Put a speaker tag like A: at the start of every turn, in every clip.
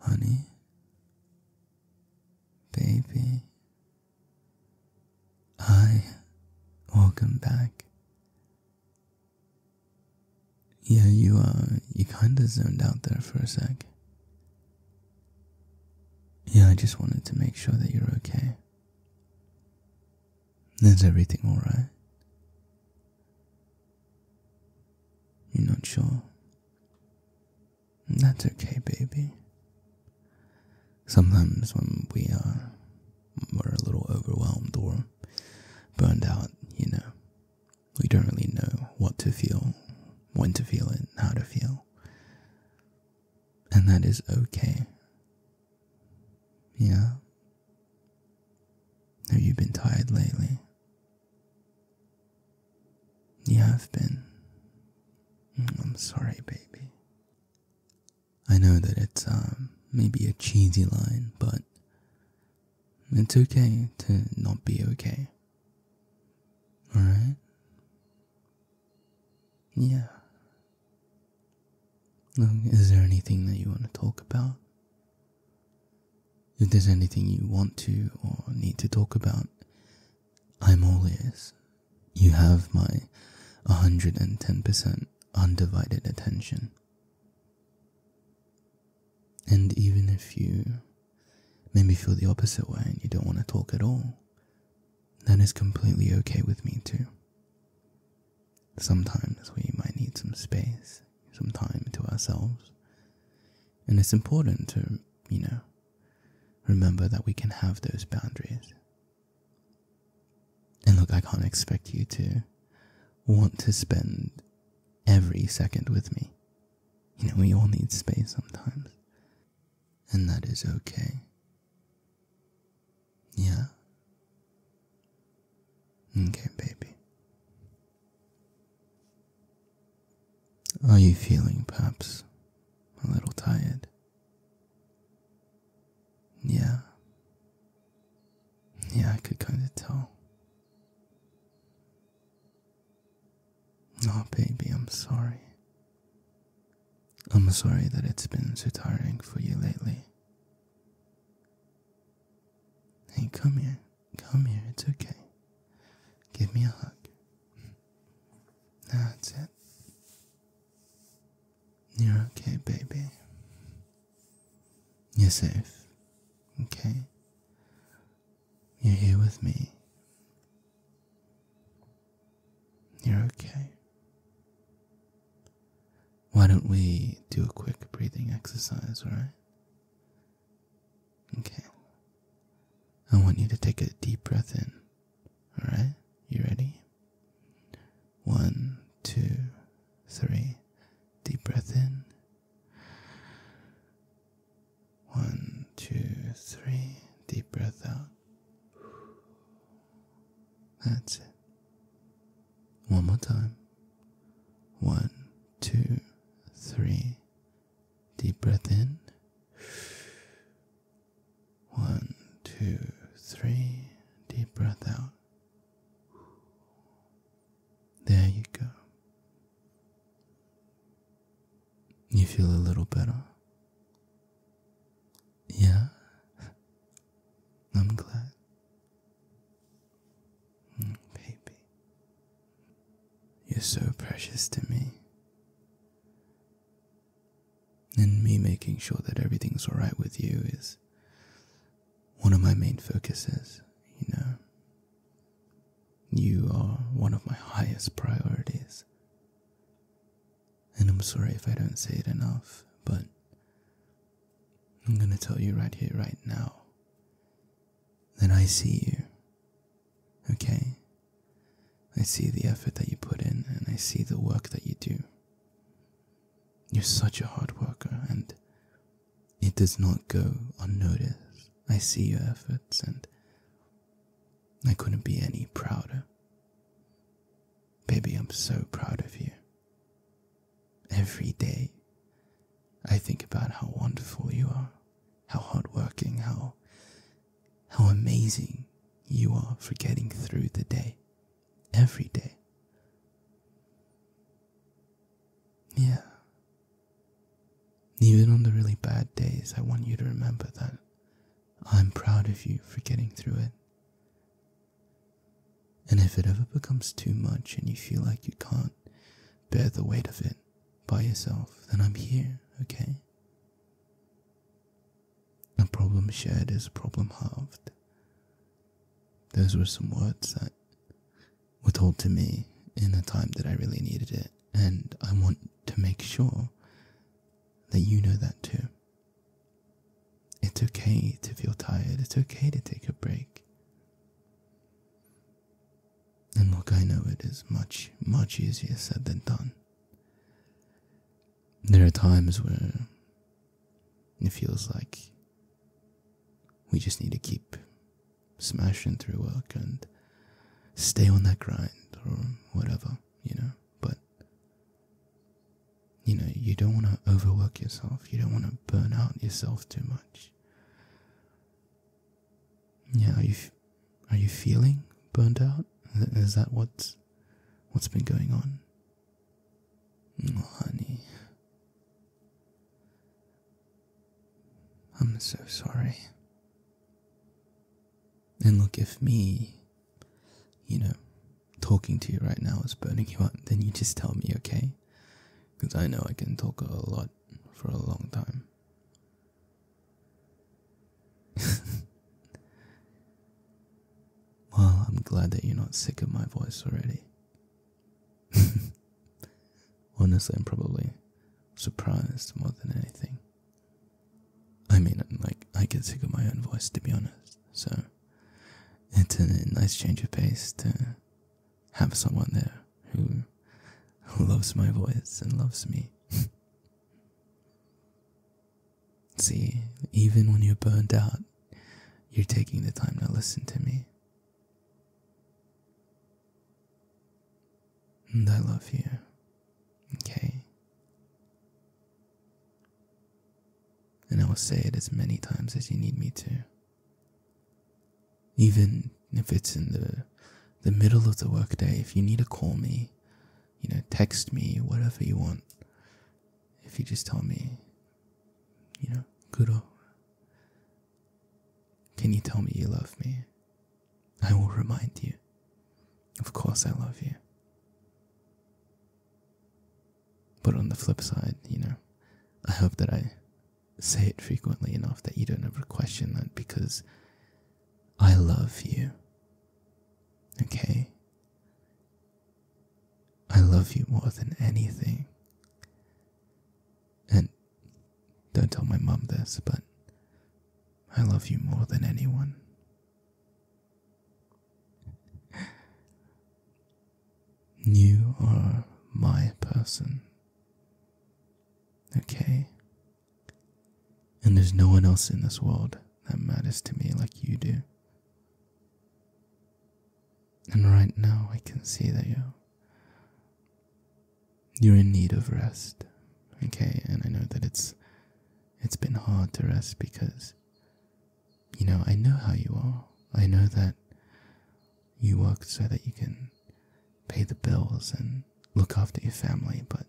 A: Honey, baby, I welcome back. Yeah, you uh, you kinda zoned out there for a sec. Yeah, I just wanted to make sure that you're okay. Is everything alright? You're not sure? That's okay, baby. Sometimes when we are we're a little overwhelmed or burned out, you know, we don't really know what to feel, when to feel it, how to feel. And that is okay. Yeah. Have you been tired lately? You have been. Mm, I'm sorry, baby. I know that it's um, maybe a cheesy line, but it's okay to not be okay. Alright? Yeah, um, is there anything that you want to talk about? If there's anything you want to or need to talk about, I'm all ears. You have my 110% undivided attention. And even if you maybe feel the opposite way and you don't want to talk at all, that is completely okay with me too. Sometimes we might need some space, some time to ourselves. And it's important to, you know, remember that we can have those boundaries. And look, I can't expect you to want to spend every second with me. You know, we all need space sometimes. And that is okay. Yeah. Okay, baby. Are you feeling perhaps a little tired? Yeah. Yeah, I could kind of tell. Oh, baby, I'm sorry. I'm sorry that it's been so tiring for you lately. Hey, come here. Come here. It's okay. Give me a hug. That's it. You're okay, baby. You're safe. Okay? You're here with me. You're okay. Why don't we do a quick breathing exercise, alright? Okay. I want you to take a deep breath in. Alright? You ready? One, two, three. Deep breath in. One, two, three. Deep breath out. That's it. One more time. One, two, three. Deep breath in. One, two, three. Deep breath out. There you go. You feel a little better. Yeah, I'm glad. Mm, baby, you're so precious to me. And me making sure that everything's alright with you is one of my main focuses, you know. You are one of my highest priorities. And I'm sorry if I don't say it enough, but I'm gonna tell you right here, right now, that I see you. Okay? I see the effort that you put in, and I see the work that you do. You're such a hard worker, and it does not go unnoticed. I see your efforts, and I couldn't be any prouder. Baby, I'm so proud of you. Every day, I think about how wonderful you are, how hardworking, how, how amazing you are for getting through the day. Every day. Yeah. Even on the really bad days, I want you to remember that I'm proud of you for getting through it. And if it ever becomes too much and you feel like you can't bear the weight of it by yourself, then I'm here, okay? A problem shared is a problem halved. Those were some words that were told to me in a time that I really needed it, and I want to make sure that you know that too. It's okay to feel tired, it's okay to take a break. And look, I know it is much, much easier said than done. There are times where it feels like we just need to keep smashing through work and stay on that grind or whatever, you know but you know, you don't want to overwork yourself, you don't want to burn out yourself too much. Yeah, are you, are you feeling burnt out? Is that what's, what's been going on? Oh, honey. I'm so sorry. And look, if me, you know, talking to you right now is burning you up, then you just tell me, okay? Because I know I can talk a lot for a long time. well, I'm glad that you're not sick of my voice already. Honestly, I'm probably surprised more than anything. I mean, like, I get sick of my own voice, to be honest, so it's a nice change of pace to have someone there who loves my voice and loves me. See, even when you're burnt out, you're taking the time to listen to me. And I love you. Okay? And I will say it as many times as you need me to. Even if it's in the the middle of the workday, if you need to call me, you know, text me, whatever you want. If you just tell me, you know, good. Can you tell me you love me? I will remind you. Of course, I love you. But on the flip side, you know, I hope that I say it frequently enough that you don't ever question that because I love you. Okay? I love you more than anything. And don't tell my mom this, but I love you more than anyone. You are my person. Okay? And there's no one else in this world that matters to me like you do. And right now I can see that you're you're in need of rest. Okay, and I know that it's it's been hard to rest because you know, I know how you are. I know that you work so that you can pay the bills and look after your family, but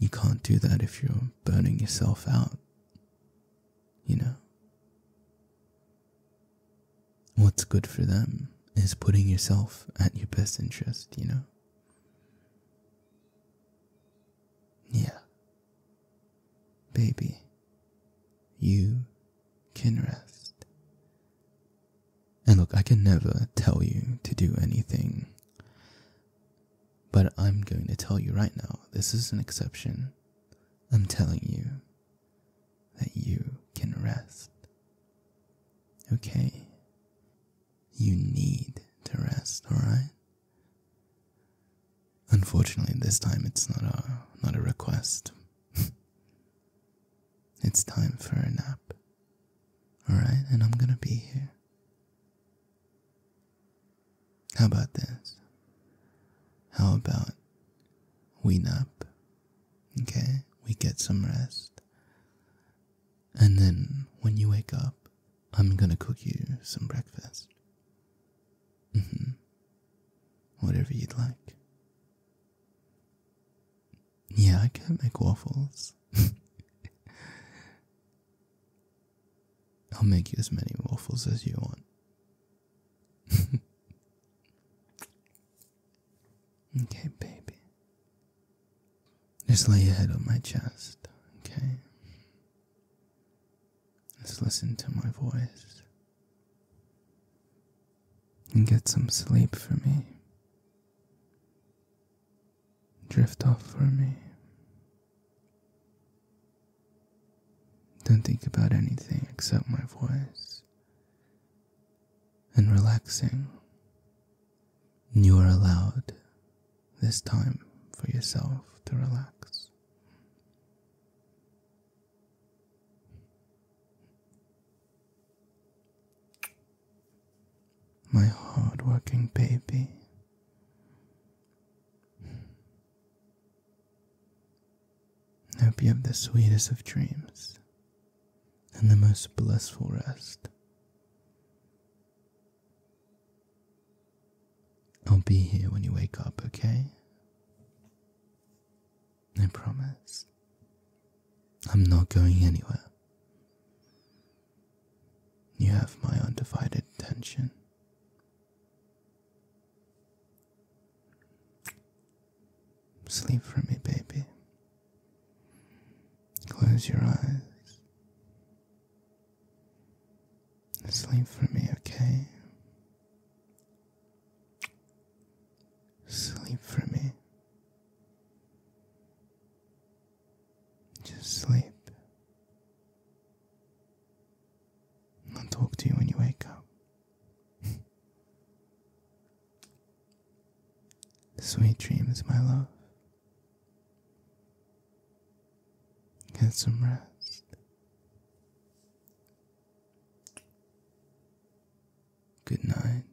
A: you can't do that if you're burning yourself out. You know? What's good for them is putting yourself at your best interest, you know? Yeah. Baby, you can rest. And look, I can never tell you to do anything, but I'm going to tell you right now this is an exception. I'm telling you, that you can rest. Okay? You need to rest, alright? Unfortunately, this time it's not a not a request. it's time for a nap. Alright, and I'm gonna be here. How about this? How about we nap Okay, we get some rest. And then when you wake up, I'm gonna cook you some breakfast. Mm hmm. Whatever you'd like. Yeah, I can make waffles. I'll make you as many waffles as you want. Okay, baby. Just lay your head on my chest, okay? Just listen to my voice. And get some sleep for me. Drift off for me. Don't think about anything except my voice and relaxing. You are allowed this time for yourself to relax. My hard working baby. Hope you have the sweetest of dreams and the most blissful rest. I'll be here when you wake up, okay? I promise. I'm not going anywhere. You have my undivided attention. Sleep for me, baby. Close your eyes. Sleep for me, okay? Sleep for me. Just sleep. I'll talk to you when you wake up. Sweet dreams, my love. Get some rest. Good night.